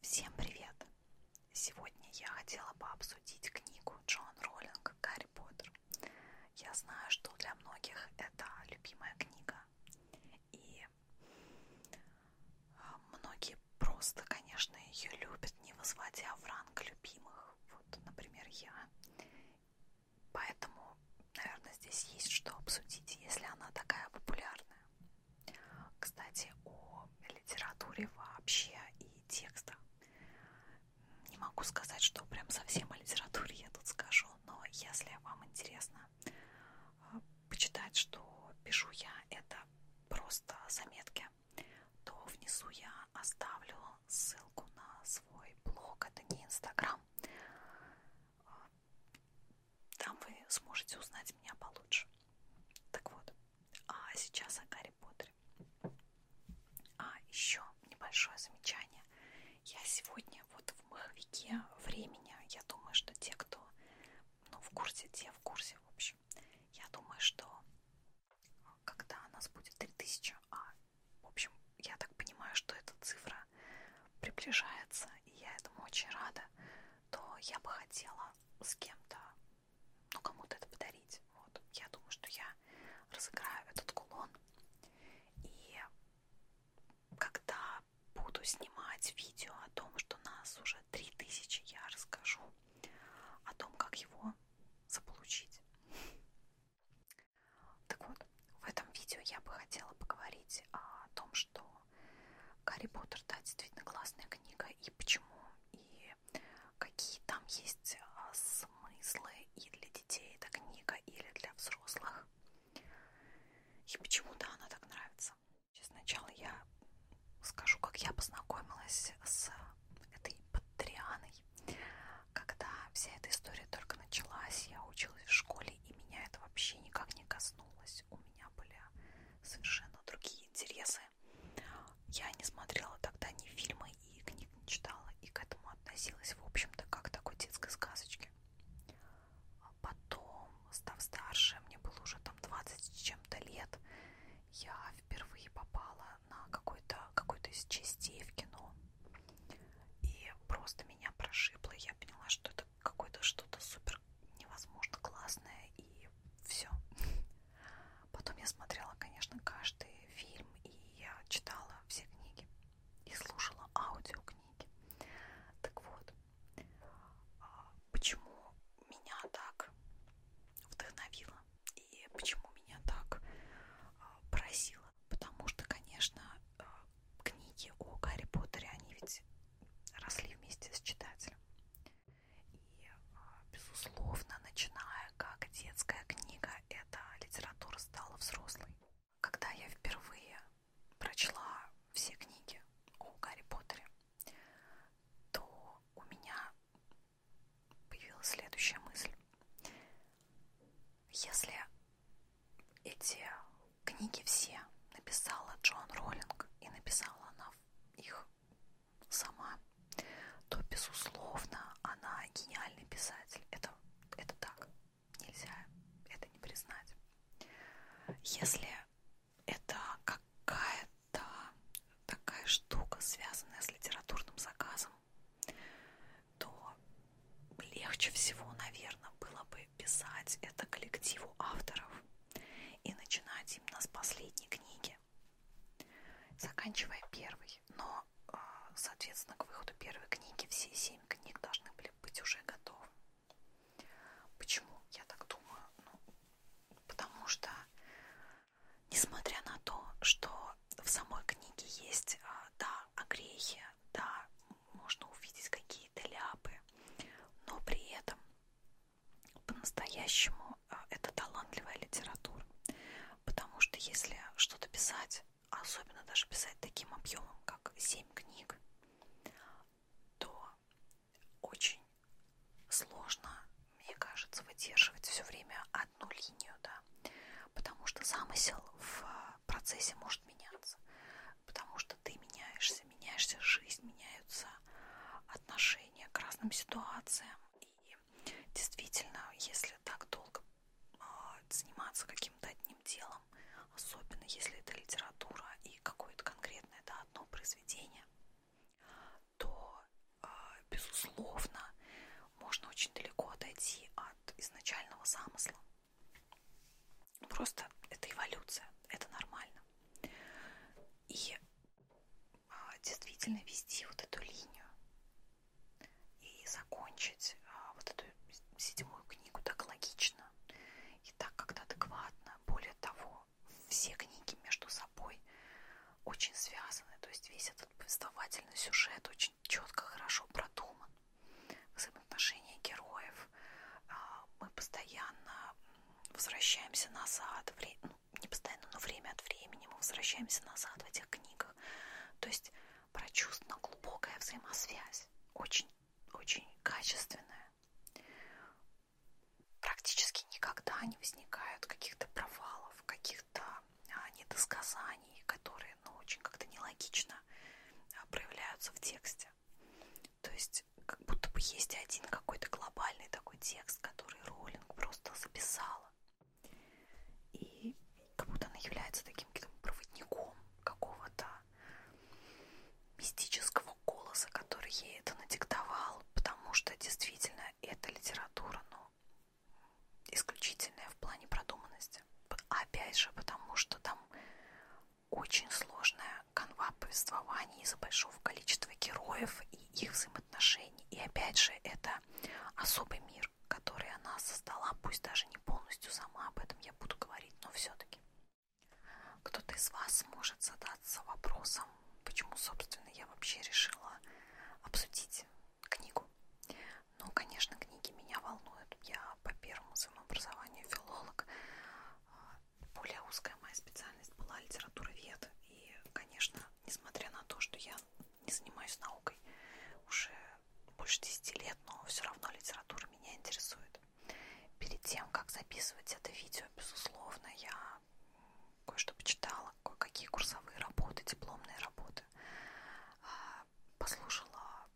Всем привет! Сегодня я хотела бы обсудить книгу Джон Роллинг «Гарри Поттер». Я знаю, что для многих это любимая книга. И многие просто, конечно, ее любят, не возводя в ранг любимых. Вот, например, я. Поэтому, наверное, здесь есть что обсудить, если она такая популярная. Кстати, о литературе вообще и текстах. Не могу сказать, что прям совсем о литературе я тут скажу, но если вам интересно э, почитать, что пишу я, это просто заметки, то внизу я оставлю ссылку на свой блог. Это не Инстаграм. Там вы сможете узнать меня получше. Так вот, а сейчас о Гарри Поттере. А еще небольшое замечание. Я сегодня вот в маховике времени, я думаю, что те, кто ну, в курсе, те в курсе, в общем. Я думаю, что когда у нас будет 3000, а, в общем, я так понимаю, что эта цифра приближается, и я этому очень рада, то я бы хотела с кем-то, ну, кому-то это подарить. Вот. Я думаю, что я разыграю этот кулон. И когда буду снимать видео о том, что нас уже 3000, я расскажу о том, как его заполучить. Так вот, в этом видео я бы хотела поговорить о том, что что Гарри Поттер, да, действительно классная книга, и почему, и какие там есть а, смыслы и для детей эта книга, или для взрослых. И почему-то она так нравится. Сейчас сначала я скажу, как я познакомилась с этой Патрианой. Когда вся эта история только началась, я училась в школе, и меня это вообще никак не коснулось. У меня меня были совершенно другие интересы. Я не смотрела тогда ни фильмы и книг не читала, и к этому относилась, в общем-то, как к такой детской сказочке. А потом, став старше, мне было уже там 20 с чем-то лет, я впервые попала на какой-то какой из частей в кино. И просто меня прошибло, я поняла, что это какое-то что-то супер невозможно классное и все. Потом я смотрела, конечно, каждый фильм, и я читала все книги и слушала аудиокниги. Так вот, а, почему меня так вдохновило и почему меня так а, поразило? Потому что, конечно, а, книги о Гарри Поттере, они ведь росли вместе с читателем. И, а, безусловно, начиная как детская книга, эта литература стала взрослой. Когда я впервые прочла все книги о Гарри Поттере, то у меня появилась следующая мысль. Если эти Книги все написала Джон Роллинг и написала она их сама, то, безусловно, она гениальный писатель. Это, это так. Нельзя это не признать. Если это какая-то такая штука, связанная с литературным заказом, то легче всего, наверное, было бы писать это коллективу авторов и начинать именно с последней книги, заканчивая первой. Но, а, соответственно, к выходу первой книги все семь книг должны были быть уже готовы. Почему я так думаю? Ну, потому что, несмотря на то, что в самой книге есть, а, да, огрехи, да, можно увидеть какие-то ляпы, но при этом по-настоящему э, это талантливая литература, потому что если что-то писать, особенно даже писать таким объемом, как 7 книг, то очень сложно, мне кажется, выдерживать все время одну линию, да, потому что замысел в э, процессе может меняться, потому что что ты меняешься, меняешься жизнь, меняются отношения к разным ситуациям. И действительно, если так долго а, заниматься каким-то одним делом, особенно если это литература и какое-то конкретное да, одно произведение, то, а, безусловно, можно очень далеко отойти от изначального замысла. Просто это эволюция, это нормально. И а, действительно вести вот эту линию и закончить а, вот эту седьмую книгу так логично и так как-то адекватно. Более того, все книги между собой очень связаны, то есть весь этот повествовательный сюжет очень четко, хорошо продуман взаимоотношения героев. А, мы постоянно возвращаемся назад, ну, не постоянно, но время от времени мы возвращаемся назад в этих книгах. То есть прочувствована глубокая взаимосвязь, очень, очень качественная. Практически никогда не возникают каких-то провалов, каких-то а, недосказаний, которые ну, очень как-то нелогично а, проявляются в тексте. То есть как будто бы есть один какой-то глобальный такой текст, который Роллинг просто записала. И как будто она является таким проводником какого-то мистического голоса, который ей это надиктовал, потому что действительно эта литература, ну, исключительная в плане продуманности. Опять же, потому что там очень сложная канва повествования из-за большого количества героев и их взаимоотношений. И опять же, это особый мир, который она создала, пусть даже не полностью сама, об этом я буду говорить, но все-таки. Кто-то из вас может задаться вопросом, почему, собственно, я вообще решила обсудить книгу. Ну, конечно, книги меня волнуют. Я по первому самообразования филолог. А, более узкая моя специальность была литературовед. И, конечно, несмотря на то, что я не занимаюсь наукой уже больше 10 лет, но все равно литература меня интересует. Перед тем, как записывать это видео, безусловно, я кое-что почитала, кое-какие курсовые работы, дипломные работы, а, послушала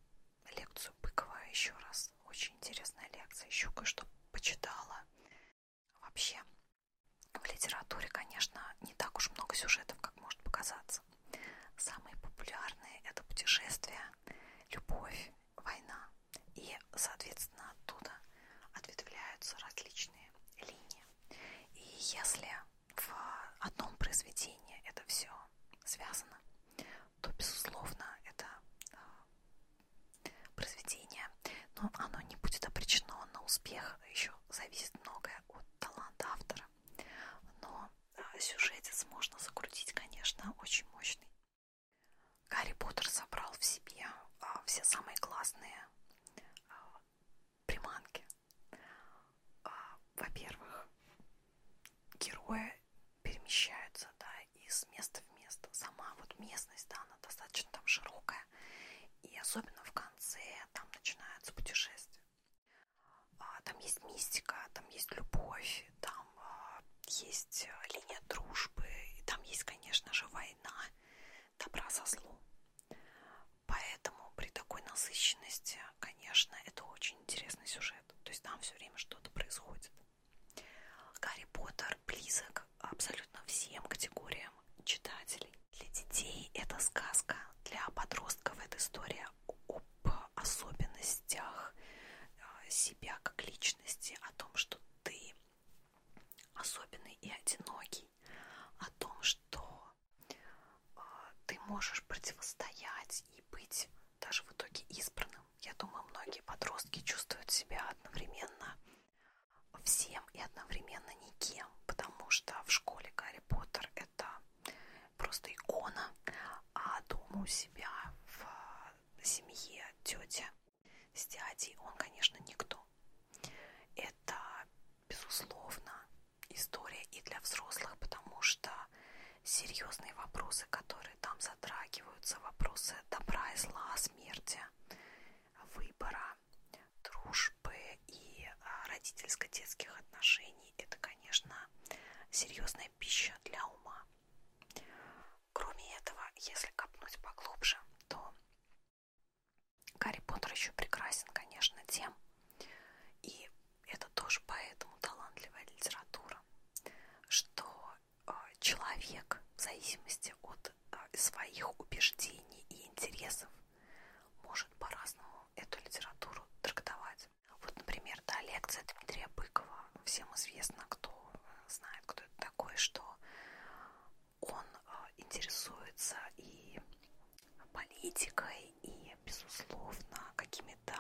лекцию Быкова еще раз. Очень интересная лекция. Еще кое-что почитала. Вообще, в литературе, конечно, не так уж много сюжетов, как может показаться. Самые популярные это путешествия, любовь, война. И, соответственно, оттуда ответвляются различные линии. И если в одном произведении это все связано, то, безусловно, это а, произведение, но оно не будет опречено на успех, еще зависит многое от таланта автора. Но а, сюжетец можно закрутить, конечно, очень мощный. Гарри Поттер собрал в себе а, все самые классные приманки. Во-первых, герои перемещаются, да, из места в место. Сама вот местность, да, она достаточно там широкая. И особенно в конце там начинаются путешествия. А, там есть мистика, там есть любовь, там а, есть э, линия дружбы, и там есть, конечно же, война добра со злом. Поэтому при такой насыщенности конечно, это очень интересный сюжет. То есть там все время что-то происходит. Гарри Поттер близок абсолютно всем категориям читателей. Для детей это сказка, для подростков это история об особенностях э, себя как личности, о том, что ты особенный и одинокий, о том, что э, ты можешь противостоять стать и быть даже в итоге избранным. Я думаю, многие подростки чувствуют себя одновременно всем и одновременно никем, потому что в школе Гарри Поттер это просто икона, а дома у себя в семье тети с дядей он, конечно, никто. Это, безусловно, история и для взрослых, потому что серьезные вопросы, которые там затрагиваются, вопросы добра и зла, смерти, выбора, дружбы и а, родительско-детских отношений. Это, конечно, серьезная пища для ума. Кроме этого, если копнуть поглубже, то Гарри Поттер еще прекрасен, конечно, тем и это тоже поэтому талантливая литература, что э, человек в зависимости от э, своих убеждений и интересов может по-разному эту литературу трактовать. Вот, например, да, лекция Дмитрия Быкова. Всем известно, кто э, знает, кто это такой, что он интересуется и политикой, и, безусловно, какими-то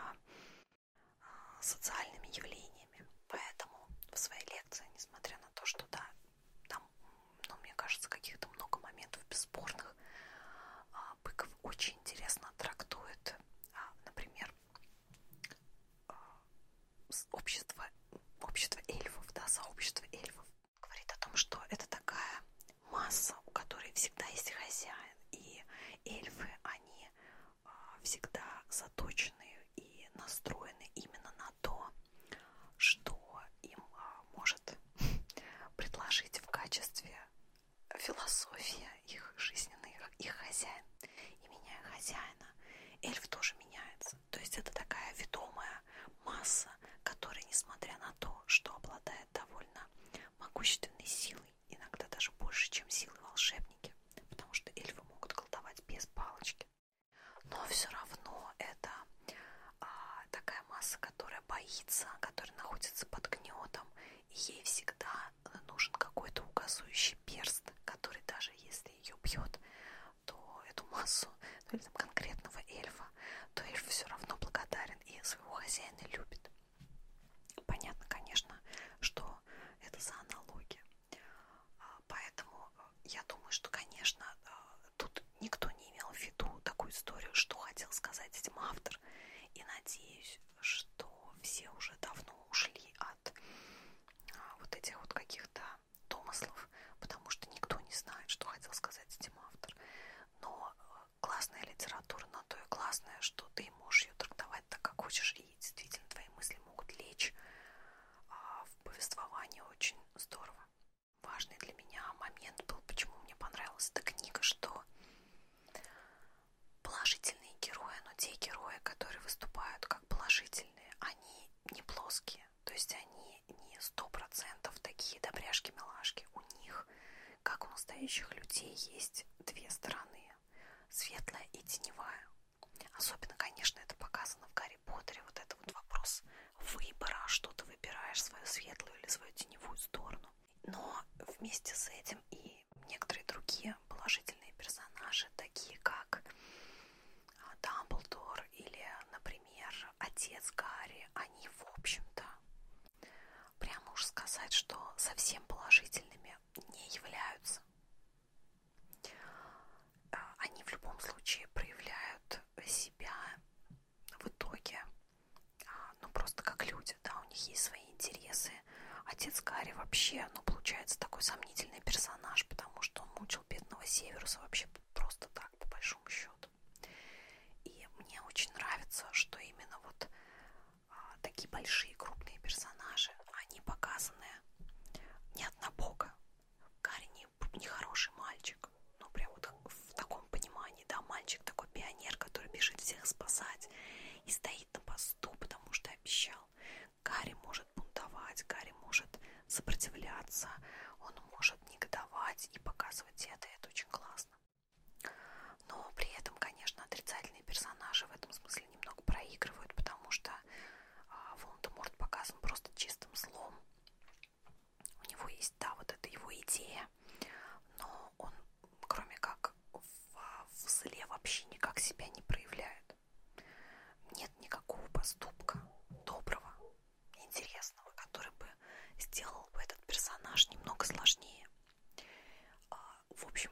Э, социальными явлениями. Поэтому в своей лекции, несмотря на то, что да, там, ну, мне кажется, каких-то много моментов бесспорных, а, Быков очень интересно трактует, а, например, а, общество, общество эльфов, да, сообщество эльфов. Говорит о том, что это такая масса, у которой всегда есть хозяин. И эльфы, они а, всегда заточены и настроены именно на то, что им а, может предложить в качестве философия их жизненный, их хозяин. И меняя хозяина, эльф тоже меняется. То есть это такая ведомая масса, которая, несмотря на то, что обладает довольно могущественной силой, иногда даже больше, чем силы волшебники, потому что эльфы могут колдовать без палочки. Но все равно это а, такая масса, которая боится, которая находится под гнетом, и ей всегда э, нужен какой-то указующий перст, который даже если ее бьет, то эту массу, ну или там конкретного эльфа, то эльф все равно благодарен и своего хозяина любит. Понятно, конечно, что это за аналоги. А, поэтому э, я думаю, что, конечно, э, тут никто не имел в виду такую историю, что хотел сказать этим автор. И надеюсь, что все уже давно ушли от а, вот этих вот каких-то домыслов, потому что никто не знает, что хотел сказать этим автор. Но э, классная литература на то и классная, что ты можешь ее трактовать так, как хочешь, и действительно твои мысли могут лечь а, в повествовании очень здорово. Важный для меня момент был, почему мне понравилась эта книга, что положительные герои, но те герои, которые выступают как положительные, они не плоские, то есть они не сто процентов такие добряшки-милашки, у них как у настоящих людей есть две стороны, светлая и теневая. Особенно, конечно, это показано в Гарри Поттере, вот это вот вопрос выбора, что ты выбираешь, свою светлую или свою теневую сторону. Но вместе с этим и некоторые другие положительные персонажи, такие как а, Дамблдор или, например, отец Гарри, они, в общем-то, Прямо уж сказать, что совсем положительными не являются. А, они в любом случае проявляют себя в итоге, а, ну просто как люди, да, у них есть свои интересы. Отец Гарри вообще, ну получается такой сомнительный персонаж, потому что он мучил бедного Северуса вообще просто так, по большому счету. И мне очень нравится, что именно вот а, такие большие крупные персонажи, они показаны не однобоко. Гарри не, не хороший мальчик, ну прям вот в таком понимании, да, мальчик такой пионер, который бежит всех спасать и стоит на посту, потому что обещал. Гарри может бунтовать, Гарри может сопротивляться, он может негодовать и показывать это, и это очень классно. Но при этом, конечно, отрицательные персонажи в этом смысле немного проигрывают, потому что а, Волан-де-Морт показан просто чистым злом. У него есть, да, вот эта его идея, но он, кроме как в зле, вообще никак себя не проявляет. Нет никакого поступка доброго, интересного, который бы сделал бы этот персонаж немного сложнее. А, в общем,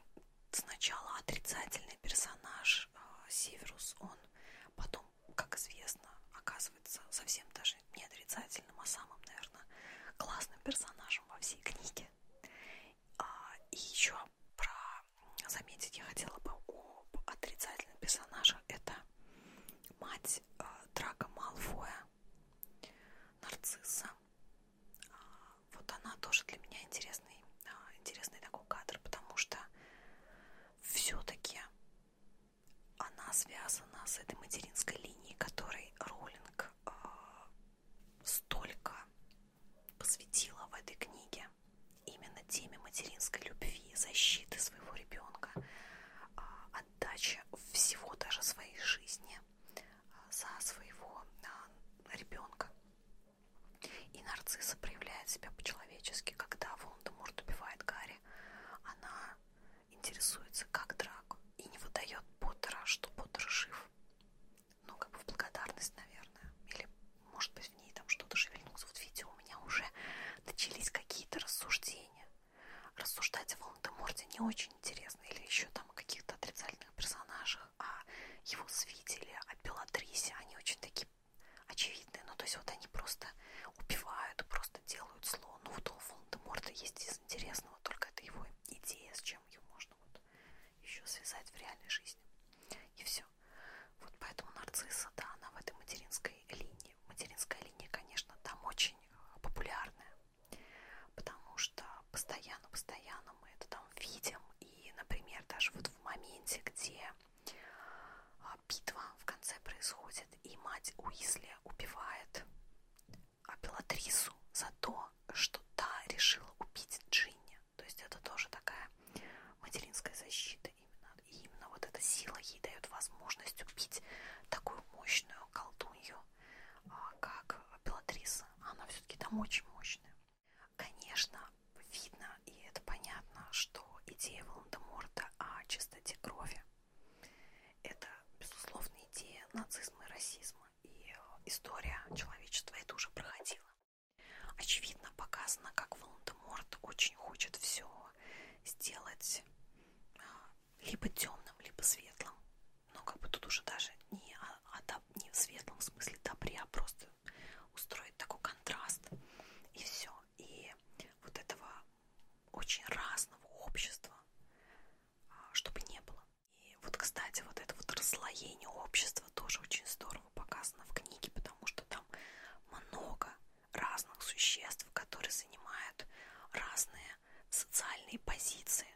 сначала отрицательный персонаж а, Северус, он потом, как известно, оказывается совсем даже не отрицательным, а самым, наверное, классным персонажем во всей книге. А, и еще про заметить я хотела бы об отрицательном персонаже. Это мать Драка Малфоя нарцисса. А, вот она тоже для меня интересный, а, интересный такой кадр, потому что все-таки она связана с этой материнской линией, которой Роллинг а, столько посвятила в этой книге именно теме материнской любви, защиты своего ребенка, отдача всего даже своей жизни а, за своего а, ребенка. И нарцисса проявляет себя по-человечески, когда Волан-де-Морт убивает Гарри. Она интересуется, как Драку, и не выдает Поттера, что Поттер жив. Ну, как бы в благодарность, наверное. Или, может быть, в ней там что-то шевельнулось. Вот видите, у меня уже начались какие-то рассуждения рассуждать о Волан-де-Морте не очень интересно, или еще там о каких-то отрицательных персонажах, о а его свителе, о Белатрисе, они очень такие очевидные, ну то есть вот они просто убивают, просто делают зло, ну вот у Волан-де-Морта есть из интересного, только это его идея, с чем ее можно вот еще связать в реальной жизни, и все. Вот поэтому нарцисса, да, она в этой материнской линии. Материнская линия, конечно, там очень э, популярная. Потому что постоянно-постоянно мы это там видим. И, например, даже вот в моменте, где а, битва в конце происходит, и мать Уизли убивает Апеллатрису за то, что та решила убить Джинни. То есть это тоже такая материнская защита именно. И именно вот эта сила ей дает возможность убить такую мощную колдунью, а, как Белатриса. Она все-таки там очень мощная. Конечно, видно и это понятно, что идея Волан-де-Морта о чистоте крови – это, безусловно, идея нацизма и расизма. И э, история человечества это уже проходила. Очевидно показано, как Волан-де-Морт очень хочет все сделать а, либо темным, либо светлым. Но как бы тут уже даже не, а, а, не в светлом в смысле добре, а просто устроить такой контраст. И все. И вот этого очень разного общества, а, чтобы не было. И вот, кстати, вот это вот расслоение общества тоже очень здорово показано в книге, потому что там много разных существ, которые занимают разные социальные позиции.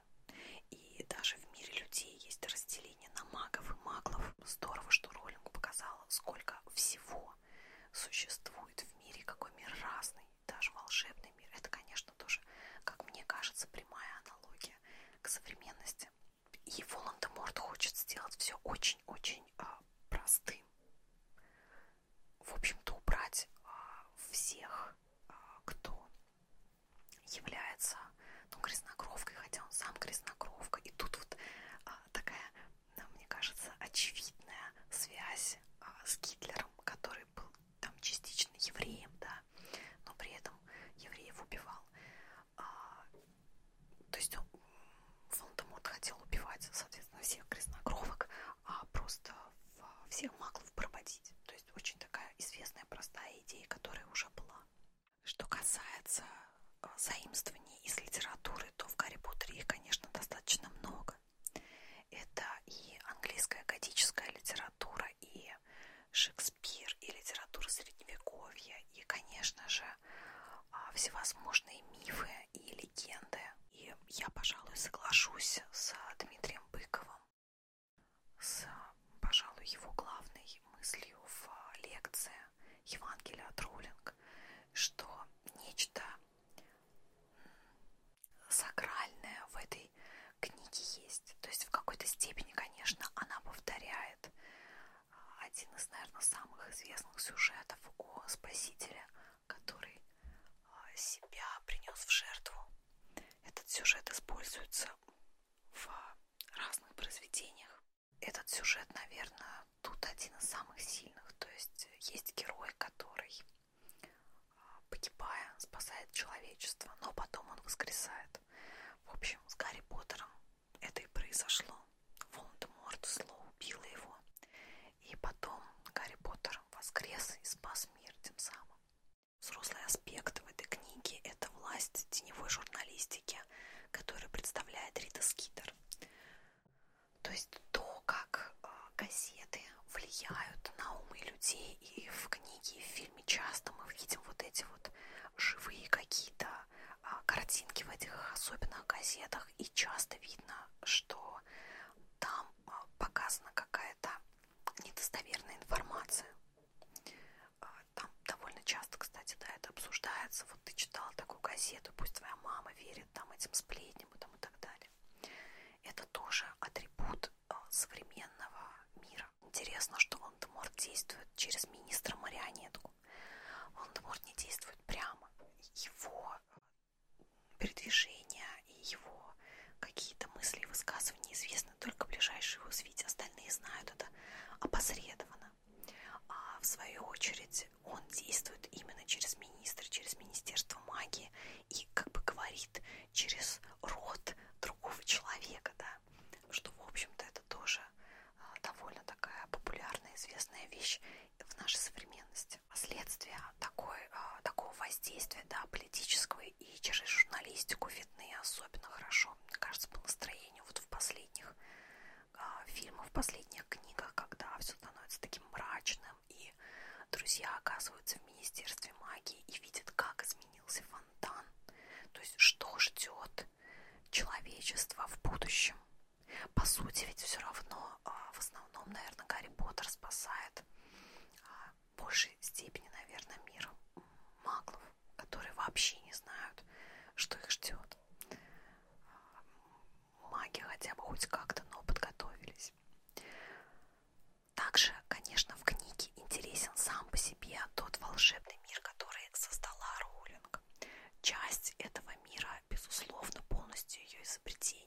И даже в мире людей есть разделение на магов и маглов. Здорово, что Роллинг показала, сколько всего существует в мире, какой мир разный, даже волшебный мир. Это, конечно, тоже, как мне кажется, прямая аналогия к современности. И Волан-де-Морт хочет сделать все очень-очень э, простым в общем-то, убрать а, всех, а, кто является ну, грязнокровкой, хотя он сам грязнокровка. И тут вот а, такая, ну, мне кажется, очевидная связь с Гитлером, который был там частично евреем, да, но при этом евреев убивал. То есть он Волдеморт хотел убивать, соответственно, всех грязнокровок, а просто всех маклов проводить. То есть очень такая известная, простая идея, которая уже была. Что касается э, заимствований из литературы, то в Гарри Поттере их, конечно, достаточно много. Это и английская готическая литература, и Шекспир, и литература средневековья, и, конечно же, а, всевозможные мифы и легенды. И я, пожалуй, соглашусь с Дмитрием Быковым, с, пожалуй, его главной мыслью в лекции Евангелия от Роллинг, что нечто сакральное в этой книге есть. То есть в какой-то степени, конечно, она повторяет а, один из, наверное, самых известных сюжетов о Спасителе который а, себя принес в жертву. Этот сюжет используется в разных произведениях. Этот сюжет, наверное, тут один из самых сильных. То есть есть герой, который, а, погибая, спасает человечество, но потом он воскресает. В общем, с Гарри Поттером это и произошло. Волан-де-Морт зло убило его. И потом Гарри Поттер воскрес и спас мир тем самым. Взрослый аспект в этой книге – это власть теневой журналистики, которую представляет Рита Скидер. То есть то, как а, газеты влияют на умы людей, и в книге, и в фильме часто мы видим вот эти вот живые какие-то а, картинки в этих особенных газетах, и часто видно, что там а, показана какая-то недостоверная информация. А, там довольно часто, кстати, да, это обсуждается. Вот ты читала такую газету, пусть твоя мама верит там этим сплетням и, там, и так далее. Это тоже атрибут а, современного мира. Интересно, что Волан-де-Мор действует через министра-марионетку. Волан-де-Мор не действует прямо. Его передвижения и его какие-то мысли и высказывания известны только ближайшие его свите. Остальные знают это опосредованно. А в свою очередь он действует именно через министра, через Министерство магии и как бы говорит через рот другого человека, да, что, в общем-то, это тоже а, довольно такая популярная, известная вещь в нашей современности есть следствия такой, э, такого воздействия да, политического и через журналистику видны особенно хорошо, мне кажется, по настроению вот в последних э, фильмах, в последних книгах, когда все становится таким мрачным, и друзья оказываются в Министерстве магии и видят, как изменился фонтан, то есть что ждет человечество в будущем. По сути, ведь все равно а, в основном, наверное, Гарри Поттер спасает а, в большей степени, наверное, мир маглов, которые вообще не знают, что их ждет. А, маги хотя бы хоть как-то, но подготовились. Также, конечно, в книге интересен сам по себе тот волшебный мир, который создала Роулинг. Часть этого мира, безусловно, полностью ее изобретение.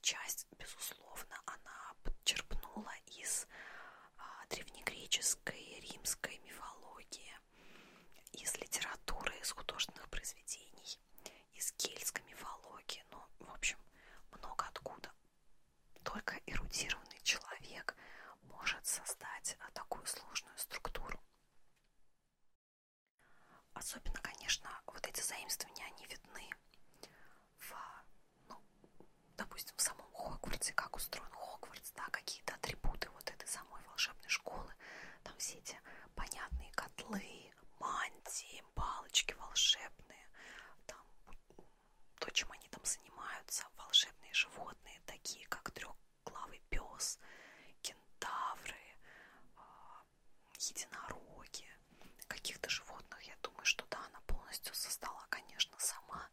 Часть, безусловно, она подчерпнула из а, древнегреческой, римской мифологии, из литературы, из художественных произведений, из кельтской мифологии, ну, в общем, много откуда. Только эрудированный человек может создать а, такую сложную структуру. Особенно, конечно, вот эти заимствования, они видны в, ну, допустим, в самом Хогвартсе, как устроен Хогвартс, да, какие-то атрибуты вот этой самой волшебной школы, там все эти понятные котлы, мантии, палочки волшебные, там то, чем они там занимаются, волшебные животные, такие как трехглавый пес, кентавры, а, единороги, каких-то животных. Я думаю, что да, она полностью создала, конечно, сама.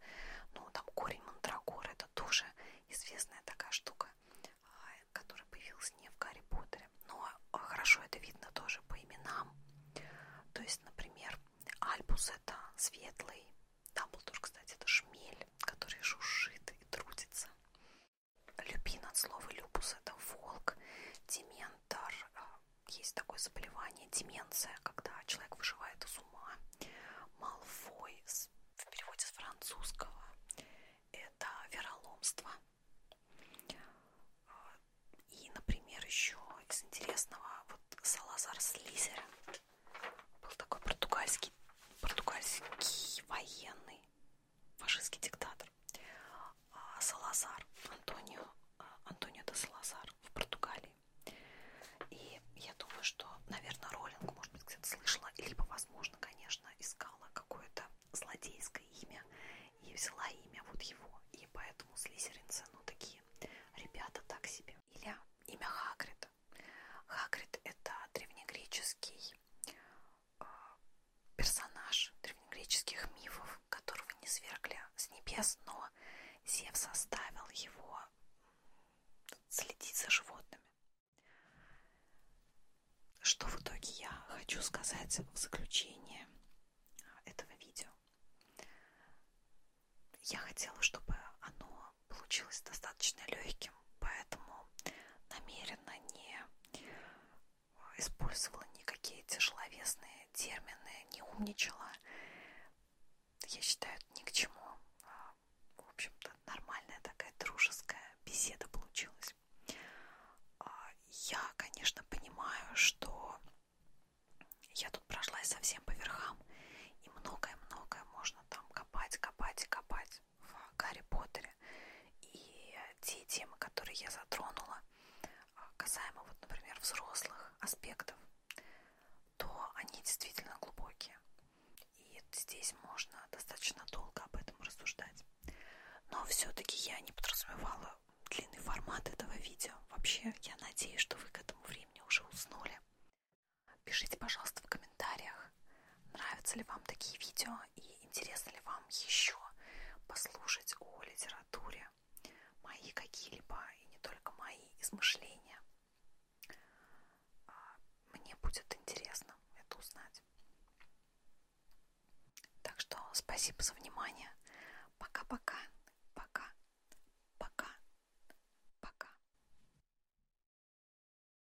Но там корень мандрагоры это тоже известная такая штука, а, которая появилась не в Гарри Поттере. Но а, хорошо это видно тоже по именам. То есть, например, Альбус это светлый, Дамблдор, кстати, это шмель, который жужжит и трудится. Люпин от слова люпус – это волк, дементор а, – есть такое заболевание, деменция, когда человек выживает из ума. Малфой в переводе с французского – это вероломство. А, и, например, еще из интересного, вот Салазар Слизерин был такой португальский, португальский военный, фашистский диктатор а Салазар, Антонио, а, Антонио де Салазар в Португалии. И я думаю, что, наверное, Роллинг, может быть, где-то слышала, либо, возможно, конечно, искала какое-то злодейское имя и взяла имя вот его. И поэтому слизеринцы, ну, такие ребята так себе. Или имя Хагрида. Хагрид – это древнегреческий Э, персонаж древнегреческих мифов, которого не свергли с небес, но Зев составил его следить за животными. Что в итоге я хочу сказать в заключение э, этого видео? Я хотела, чтобы оно получилось достаточно легким, поэтому намеренно не использовала никакие тяжеловесные термины, не умничала. Я считаю, это ни к чему. А, в общем-то, нормальная такая дружеская беседа получилась. А, я, конечно, понимаю, что я тут прошлась совсем по верхам, и многое-многое можно там копать, копать и копать есть в Гарри Поттере. И э, те темы, которые я затронула, а, касаемо, вот, например, взрослых аспектов, то они действительно глубокие. И здесь можно достаточно долго об этом рассуждать. Но все-таки я не подразумевала длинный формат этого видео. Вообще, я надеюсь, что вы к этому времени уже уснули. Пишите, пожалуйста, в комментариях, нравятся ли вам такие видео и интересно ли вам еще послушать о литературе мои какие-либо и не только мои измышления. А, мне будет интересно это узнать. Так что спасибо за внимание. Пока-пока. Пока. Пока. Пока.